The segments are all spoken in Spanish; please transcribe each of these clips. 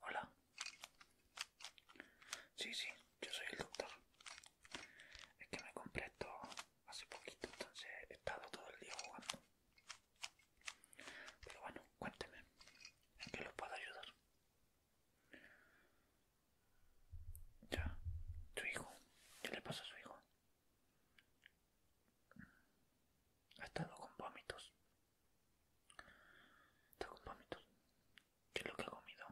Hola. Sí, sí, yo soy el doctor. Es que me compré esto hace poquito, entonces he estado todo el día jugando. Pero bueno, cuénteme, ¿en qué lo puedo ayudar? Ya, su hijo, ¿qué le pasa a su hijo? Ha estado con vómitos. Está con vómitos. ¿Qué es lo que ha comido?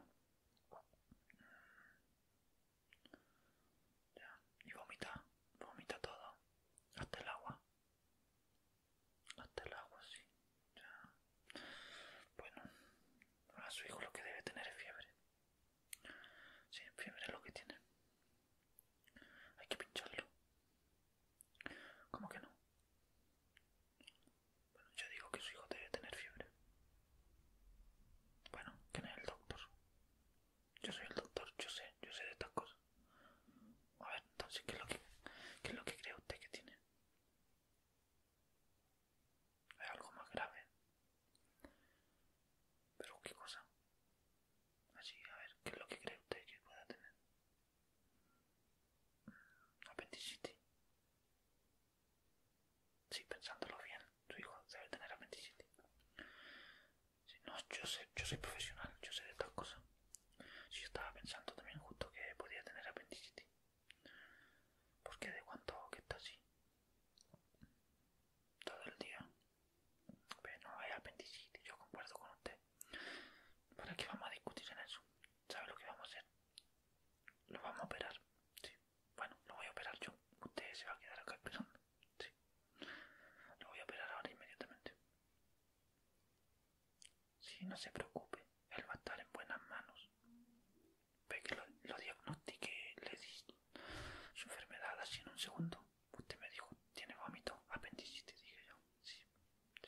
Y vomita. Vomita todo. Hasta el agua. Hasta el agua, sí. Ya. Bueno. A su hijo lo que debe tener es fiebre. Sí, fiebre es lo que tiene. Hay que pincharlo. ¿Cómo que no? Bueno, yo digo que su hijo debe tener fiebre. Bueno, ¿quién es el doctor? Yo soy el doctor, yo sé, yo sé de estas cosas. A ver, entonces, ¿qué es lo que, es lo que cree usted que tiene? hay algo más grave? ¿Pero qué cosa? Así, a ver, ¿qué es lo que cree usted que pueda tener? Mm, apendicitis. Sí, pensándolo bien, tu hijo debe tener apendicitis. si no, yo, sé, yo soy profesional, yo sé de todas cosas. si, yo estaba pensando también justo que podía tener apendicitis. Porque de cuánto que está así. Todo el día pero no hay yo concuerdo con usted. ¿Para qué vamos a discutir en eso? ¿Sabe lo que vamos a hacer? Lo vamos a operar. Bueno, lo voy a operar yo. Usted se va a quedar acá esperando. Sí. Lo voy a operar ahora inmediatamente. Sí, no se preocupe. Él va a estar en buenas manos. Ve que lo, lo le di su enfermedad así en un segundo. Usted me dijo, ¿tiene vómito? Apendicitis, dije yo. Sí,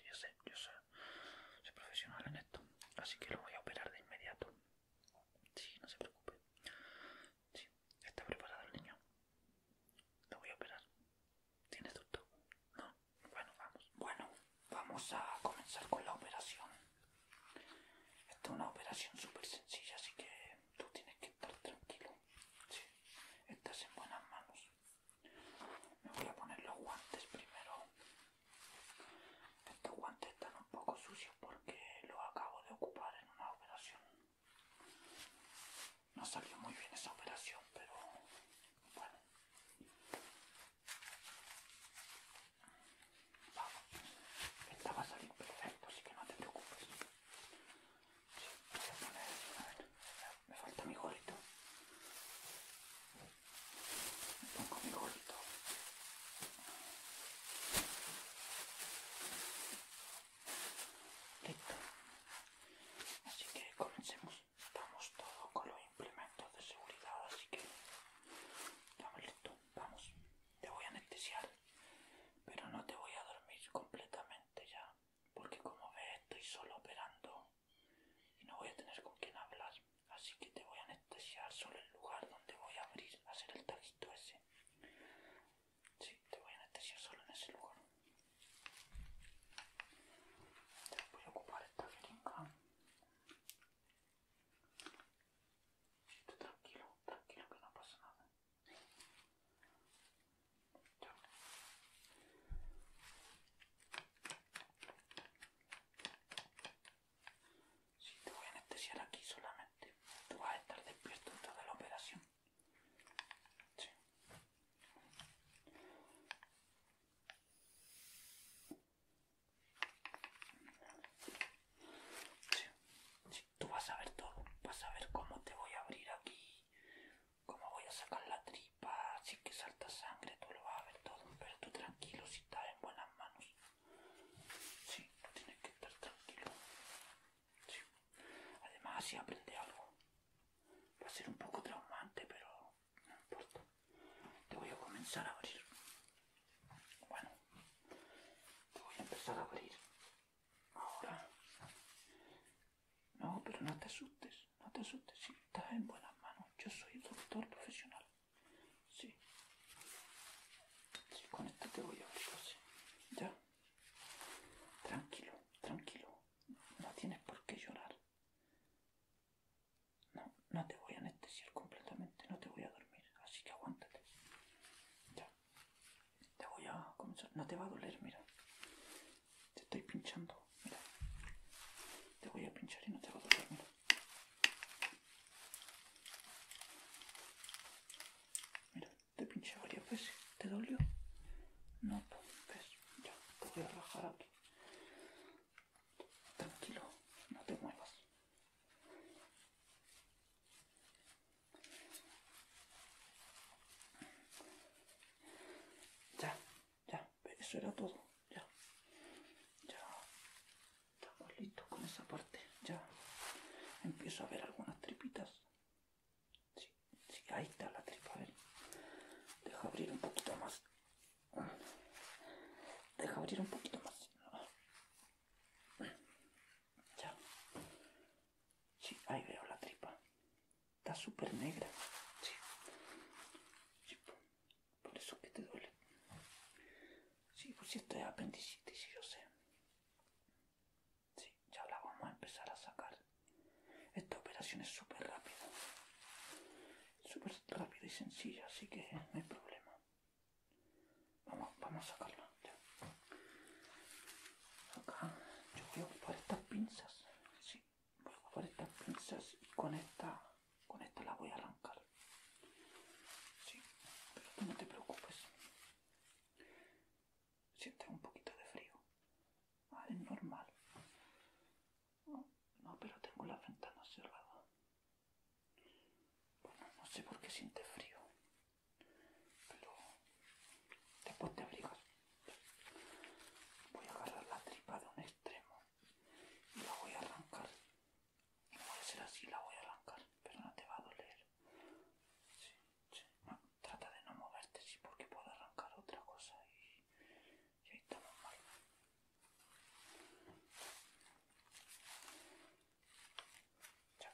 yo sé, yo sé. Soy profesional en esto, así que lo voy a operar de inmediato. Sí, no se preocupe. Sí, está preparado el niño. Lo voy a operar. ¿Tiene susto? No. Bueno, vamos. Bueno, vamos a comenzar con la operación. Esta es una operación súper sencilla, así que tú tienes que estar tranquilo. Sí, estás en buenas manos. Me voy a poner los guantes primero. Estos guantes están un poco sucios porque los acabo de ocupar en una operación. No salió muy bien esa operación, pero bueno. Vamos, esta va a salir perfecto, así que no te preocupes me falta mi gorrito. Me pongo mi gorrito. Listo. Así que comencemos. estamos todos con los implementos de seguridad, así que estamos listos. Vamos te voy a anestesiar, pero no te voy a dormir completamente ya, porque como ves estoy solo operando y no voy a tener con quien hablar, así que te voy a anestesiar solo en el lugar donde voy a abrir, hacer el tajito ese. Sí, te voy a anestesiar solo en ese lugar. Te voy a ocupar esta jeringa. tranquilo, tranquilo que no pasa nada. Si te voy a anestesiar aquí solamente, tú vas a estar despierto en toda la operación tú vas a ver todo, vas a ver cómo te voy a abrir aquí, cómo voy a sacar la tripa, si que salta sangre, tú lo vas a ver todo, pero tú tranquilo si estás en buenas manos. Sí, tienes que estar tranquilo. Sí. Además así aprende algo. Va a ser un poco traumante, pero no importa. Te voy a comenzar a abrir. Bueno, te voy a empezar a abrir. Ahora. No, pero no te asustes, no te asustes. Si estás en buenas manos. Yo soy doctor profesional. Sí. con esto te voy a abrir Ya. Tranquilo, tranquilo. No tienes por qué llorar. No, no te voy a anestesiar completamente. No te voy a dormir. Así que aguántate. Ya. Te voy a comenzar. No te va a doler, mira. Te estoy pinchando. Te voy a pinchar y no te va a doler, mira. te pinché varias veces. ¿Te dolió? No, pues, pues ya, te voy a rajar aquí. Tranquilo, no te muevas. Ya, ya, eso era todo. Ya, ya. Estamos listos con esa parte. Ya. Empiezo a ver algunas tripitas. Sí, sí, ahí está la tripa. A ver. Deja abrir un poquito más. Deja abrir un poquito más. Ya. Sí, ahí veo la tripa. Está súper negra. Sí. Por eso que te duele. Sí, pues si esto es apendicitis, sí, yo sé. Sí, ya la vamos a empezar a sacar. Esta operación es súper rápida. Súper rápida y sencilla, así que no hay problema. Vamos, vamos a sacarlo. Acá yo voy a estas pinzas. Sí, voy a estas pinzas y con esta, con esta la voy a arrancar. Sí, pero tú no te preocupes. Sientes un poquito de frío. Ah, es normal. No, pero tengo la ventana cerrada. Bueno, no sé por qué siente frío pero después te abrigas. Voy a agarrar la tripa de un extremo y la voy a arrancar. No voy a hacer así, la voy a arrancar, pero no te va a doler. trata de no moverte, sí, porque puedo arrancar otra cosa y, y ahí estamos mal. Ya,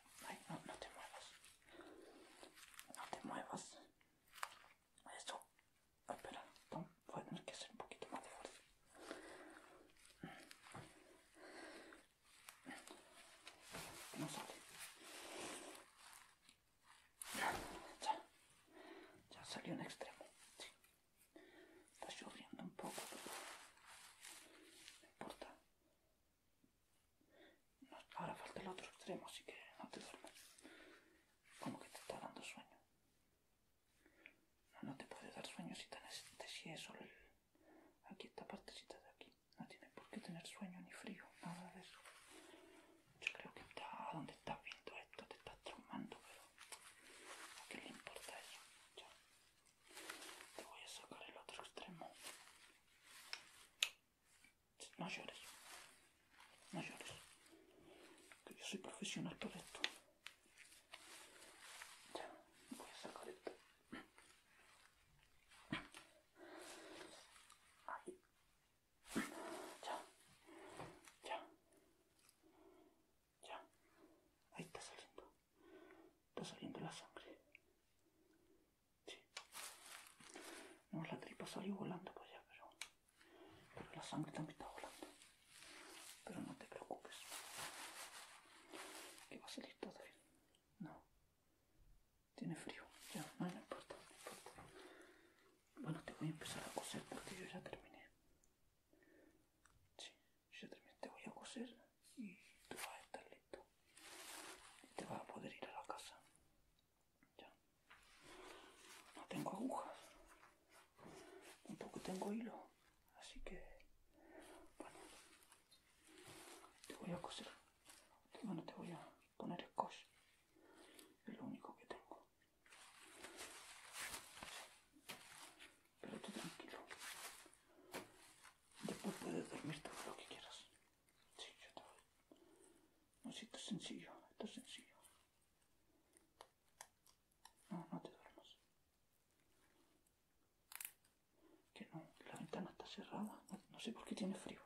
no, te muevas. No te muevas. Eso. Ah, espera, voy a tener que hacer un poquito más de fuerza. No sale. Ya. Ya salió un extremo. Sí. Está lloviendo un poco, no importa ahora falta el otro extremo, así que no te duermes. Como que te está dando sueño. No, no te puede dar sueño si, tenés, si es solo aquí esta partecita de aquí. No tienes por qué tener sueño ni frío, nada de eso. Yo creo que está donde estás viendo esto, te estás traumando, pero ¿a qué le importa eso? Te voy a sacar el otro extremo. No llores. No llores. Que yo soy profesional para esto. Ya, voy a sacar esto. Ahí. Ya. Ya. Ya. Ahí está saliendo. Está saliendo la sangre. Sí. No, la tripa salió volando por allá, pero, la sangre también está volando. Pero no te preocupes. Que va a salir todo bien. No. Tiene frío. Ya, no, importa, Bueno, te voy a empezar a coser porque yo ya terminé. Sí yo también te voy a coser y tú vas a estar listo. Y te vas a poder ir a la casa. Ya. No tengo agujas. Tampoco tengo hilo. Así que, bueno, te voy a coser. Bueno, te voy a poner scotch. Es lo único que tengo. Pero tú tranquilo. Después puedes dormir todo lo que quieras. Sí, yo te voy. No, si esto es sencillo, esto es sencillo. No, no te duermas. Que no, la ventana está cerrada. No, sé por qué tiene frío.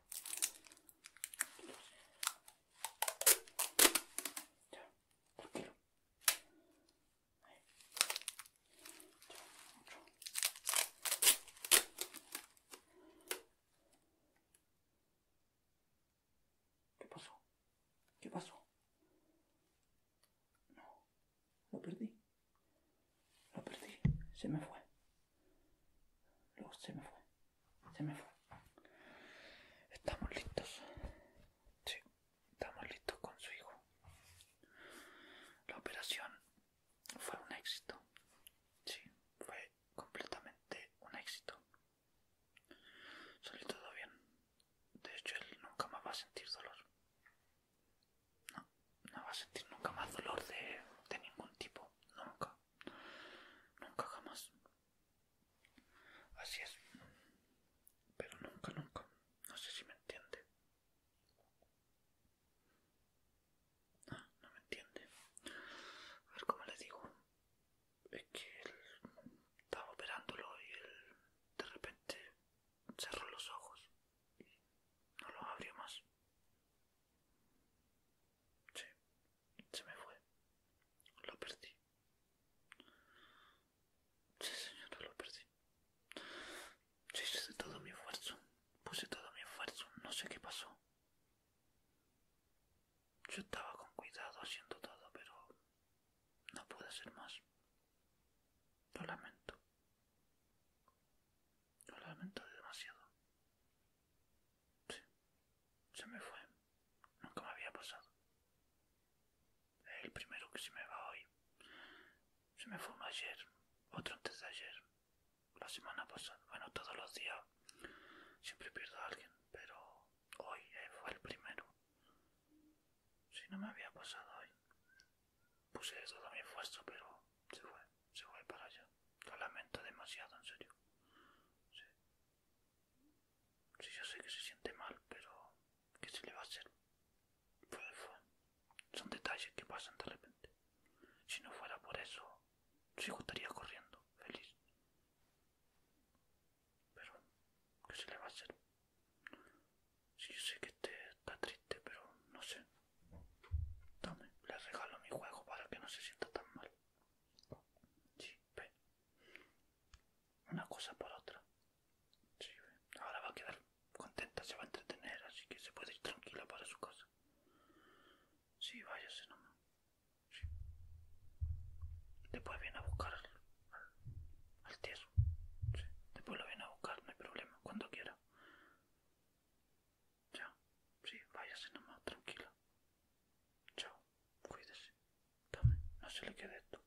Ya, tranquilo. ¿Qué pasó? ¿Qué pasó? No, lo perdí. Lo perdí. Se me fue. Lo, se me fue. Se me fue. Estamos listos. Sí estamos listos con su hijo. La operación fue un éxito. Sí, fue completamente un éxito. Salió todo bien. De hecho, él nunca más va a sentir dolor. No, no va a sentir nunca más dolor de, de ningún tipo. Nunca. Nunca jamás. Así es. Pero nunca, nunca. No sé si me entiende no me entiende. A ver cómo le digo. Es que él estaba operándolo y él de repente cerró los ojos y no los abrió más. Sí, se me fue. Lo perdí. Sí, señor, lo perdí. Sí, hice todo mi esfuerzo. Puse todo mi esfuerzo. No sé qué pasó. Yo estaba con cuidado haciendo todo, pero no pude hacer más. Lo lamento. Lo lamento demasiado. Sí, se me fue. Nunca me había pasado. El primero que se me va hoy. Se me fue ayer, otro antes de ayer, la semana pasada. Bueno, todos los días siempre pierdo a alguien, pero hoy eh, fue el primero. Si no me había pasado hoy, puse todo mi esfuerzo, pero se fue, se fue para allá. Lo lamento demasiado, en serio. Sí. yo sé que se siente mal, pero ¿Qué se le va a hacer? Son detalles que pasan de repente. Si no fuera por eso, seguiría estaría corriendo, feliz. Pero, ¿qué se le va a hacer? si yo sé que este está triste, pero no sé. Dame, le regalo mi juego para que no se sienta tan mal. Sí, ve una cosa por otra. ahora va a quedar contenta, se va a entretener, así que se puede ir tranquila para su casa. Sí, váyase nomás. Después viene a buscar al, al, Después lo viene a buscar, no hay problema, cuando quiera. Ya, sí, váyase nomás, tranquila. Chao, cuídese. no se le quede esto.